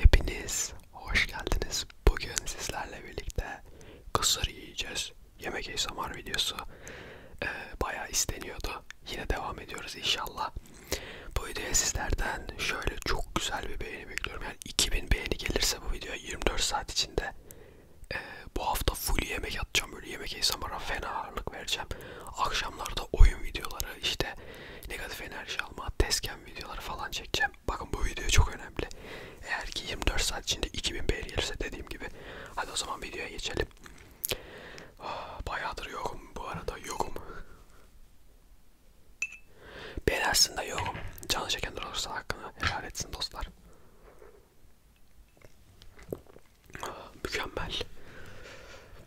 Hepiniz hoş geldiniz. Bugün sizlerle birlikte kısır yiyeceğiz. Yemek ASMR videosu e, bayağı isteniyordu. Yine devam ediyoruz inşallah. Bu videoya sizlerden şöyle çok güzel bir beğeni bekliyorum. Yani 2000 beğeni gelirse bu videoya 24 saat içinde e, bu hafta full yemek atacağım. Böyle yemek ASMR'a fena ağırlık vereceğim. Akşamlarda oyun videoları işte negatif enerji alma, tezgah yayınlayan videoları falan çekeceğim. Bakın bu video çok önemli. Eğer ki 24 saat içinde 2000 beğeni gelirse dediğim gibi. Hadi o zaman videoya geçelim. Ah, bayağıdır yokum bu arada yokum. Ben aslında yokum. Canı çeken olursa hakkını helal etsin dostlar. Ah, mükemmel.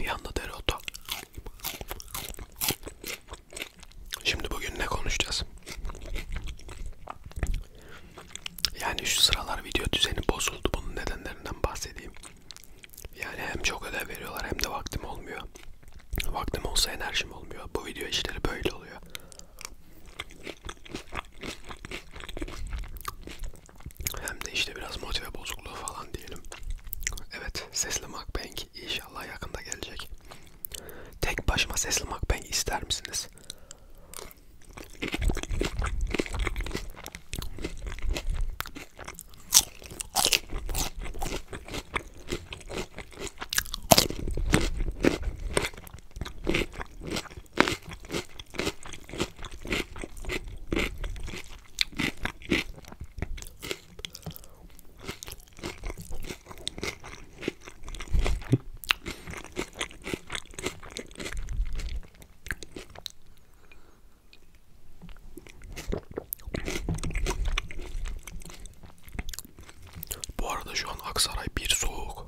Yanında dereotu. Şimdi bugün ne konuşacağız? Yani şu sıralar video düzeni bozuldu. Bunun nedenlerinden bahsedeyim. Yani hem çok ödev veriyorlar hem de vaktim olmuyor. Vaktim olsa enerjim olmuyor. Bu video işleri böyle oluyor. Hem de işte biraz motive bozukluğu falan diyelim. Evet, sesli mukbang inşallah yakında gelecek. Tek başıma sesli mukbang ister misiniz? Bu arada şu an Aksaray bir soğuk.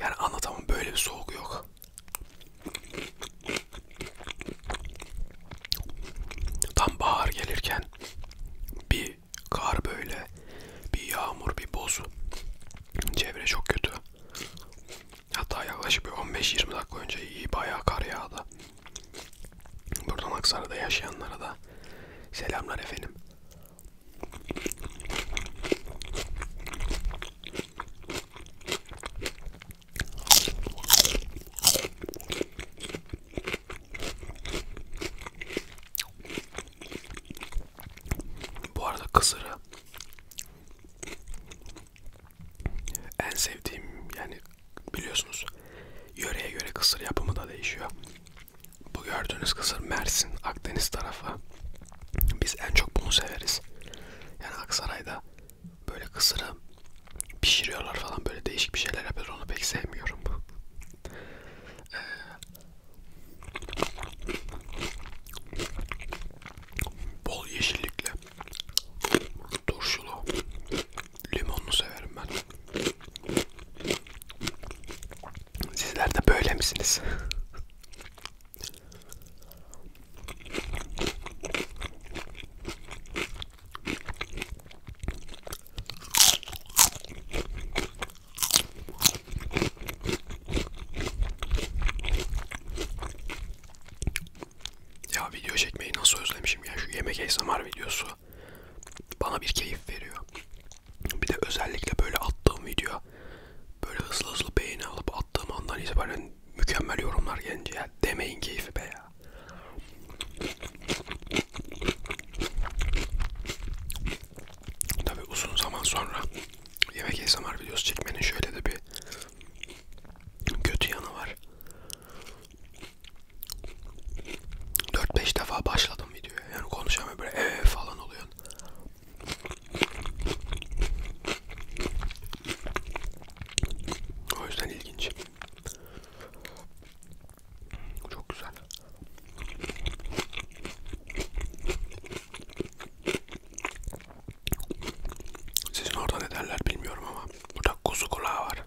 Yani anlatamam böyle bir soğuk yok. Tam bahar gelirken bir kar böyle, bir yağmur, bir boz. Çevre çok kötü. Hatta yaklaşık bir 15-20 dakika önce iyi bayağı kar yağdı. Buradan Aksaray'da yaşayanlara da selamlar efendim. Bu arada kısırı en sevdiğim yani biliyorsunuz yöreye göre kısır yapımı da değişiyor. Bu gördüğünüz kısır Mersin, Akdeniz tarafı. Biz en çok bunu severiz. Yani Aksaray'da böyle kısırı pişiriyorlar falan böyle değişik bir şeyler yapıyor. Onu pek sevmiyorum. Ee, bol yeşillikli, turşulu, Limonlu severim ben. Sizler de böyle misiniz? Ya video çekmeyi nasıl özlemişim ya şu yemek ASMR videosu bana bir keyif veriyor. Bir de özellikle böyle attığım video böyle hızlı hızlı beğeni alıp attığım andan itibaren mükemmel yorumlar gelince ya demeyin keyfi be ya. Tabi uzun zaman sonra yemek ASMR videosu çekmenin şöyle de bir kötü yanı var. 4-5 defa başladım videoya. Yani konuşamıyorum böyle ee falan oluyor. O yüzden ilginç. Çok güzel. Sizin orada ne derler bilmiyorum ama burada kuzu kulağı var.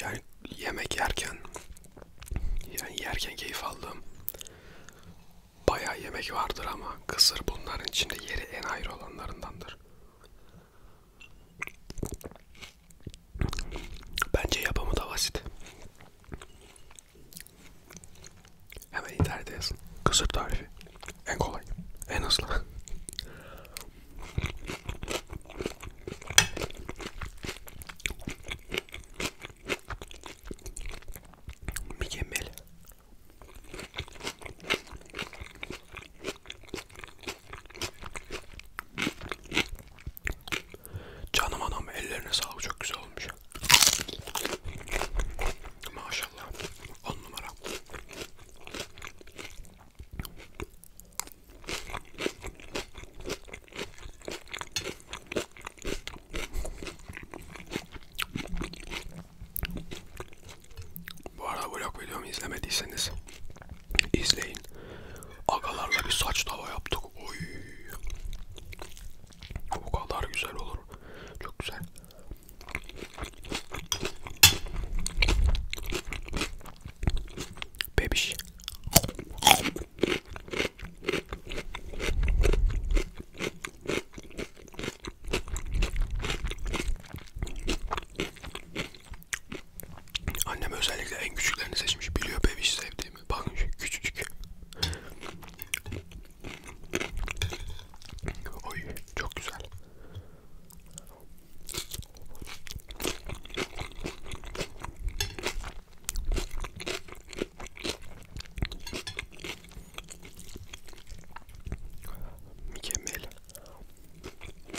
Yani yemek yerken yani yerken keyif aldım. Bayağı yemek vardır ama kısır bunların içinde yeri en ayrı olanlarındandır. Bence yapımı da basit. Hemen internete yazın. Kısır tarifi. En kolay. En hızlı. Mükemmel. Canım anam ellerine sağlık çok güzel olmuş. Maşallah. On numara. Bu arada vlog videomu izlemediyseniz İzleyin. Agalarla bir saç tava yaptık. Oy. O kadar güzel olur. Çok güzel. Bebiş. Annem özellikle en küçüklerini seçmiş. Biliyor bebiş sevdiğimi. Bakın şu küçücük. Oy çok güzel. Mükemmel.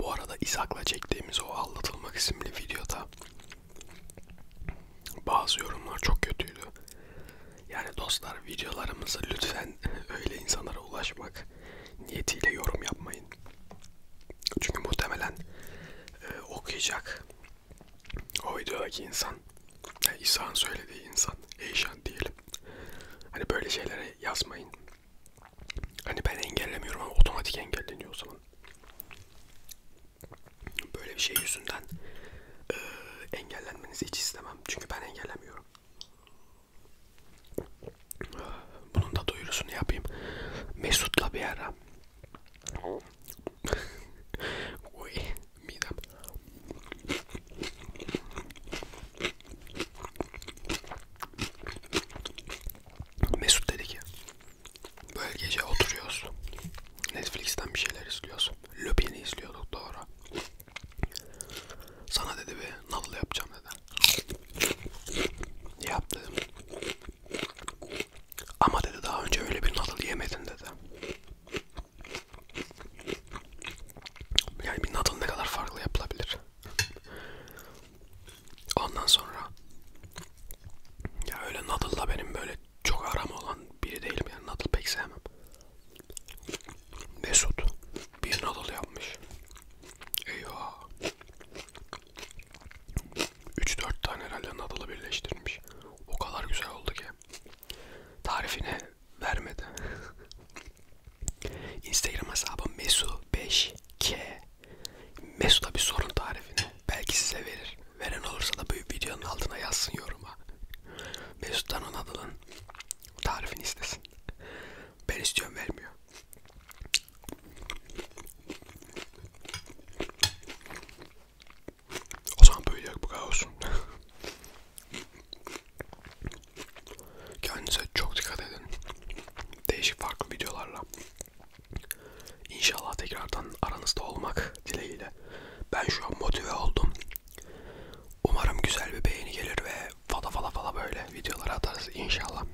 Bu arada İshak'la çektiğimiz o aldatılmak isimli videoda bazı yorumlar çok kötüydü. Yani dostlar videolarımızı lütfen öyle insanlara ulaşmak niyetiyle yorum yapmayın. Çünkü muhtemelen e, okuyacak o videodaki insan, yani İsa'nın söylediği insan, Eyşan diyelim. Hani böyle şeylere yazmayın. Hani ben engellemiyorum ama otomatik engelleniyor o zaman. Böyle bir şey yüzünden e, engellenmenizi hiç istemem. Çünkü ben engellemiyorum. Bunun da duyurusunu yapayım. Mesut'la bir ara. Oy midem. Mesut dedi ki böyle gece oturuyoruz. Netflix'ten bir şeyler izliyoruz. Lupin'i izliyorduk doğru. Sana dedi bir noodle yapacağım dedi. Yap dedim. Ama dedi daha önce öyle bir noodle yemedin dedi. Yani bir noodle ne kadar farklı yapılabilir? Ondan sonra ya öyle Noodle'la benim böyle çok aram olan biri değilim yani Noodle pek sevmem. Mesut bir Noodle yapmış. Eyvah. 3-4 tane herhalde Noodle'ı birleştirmiş. O kadar güzel oldu ki. Tarifini vermedi. Instagram hesabı mesu5k Mesu'da bir sorun tarifini belki size verir. Veren olursa da bu videonun altına yazsın yoruma. Mesut'tan ona dalın. Tarifini istesin. Ben istiyorum vermiyor. O zaman böyle yok bu kadar olsun. Kendinize çok dikkat edin. Değişik farklı videolarla. İnşallah tekrardan aranızda olmak dileğiyle. Ben şu an motive oldum. Umarım güzel bir beğeni gelir ve fala fala fala böyle videolar atarız inşallah.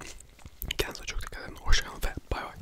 Kendinize çok dikkat edin. Hoşçakalın ve bay bay.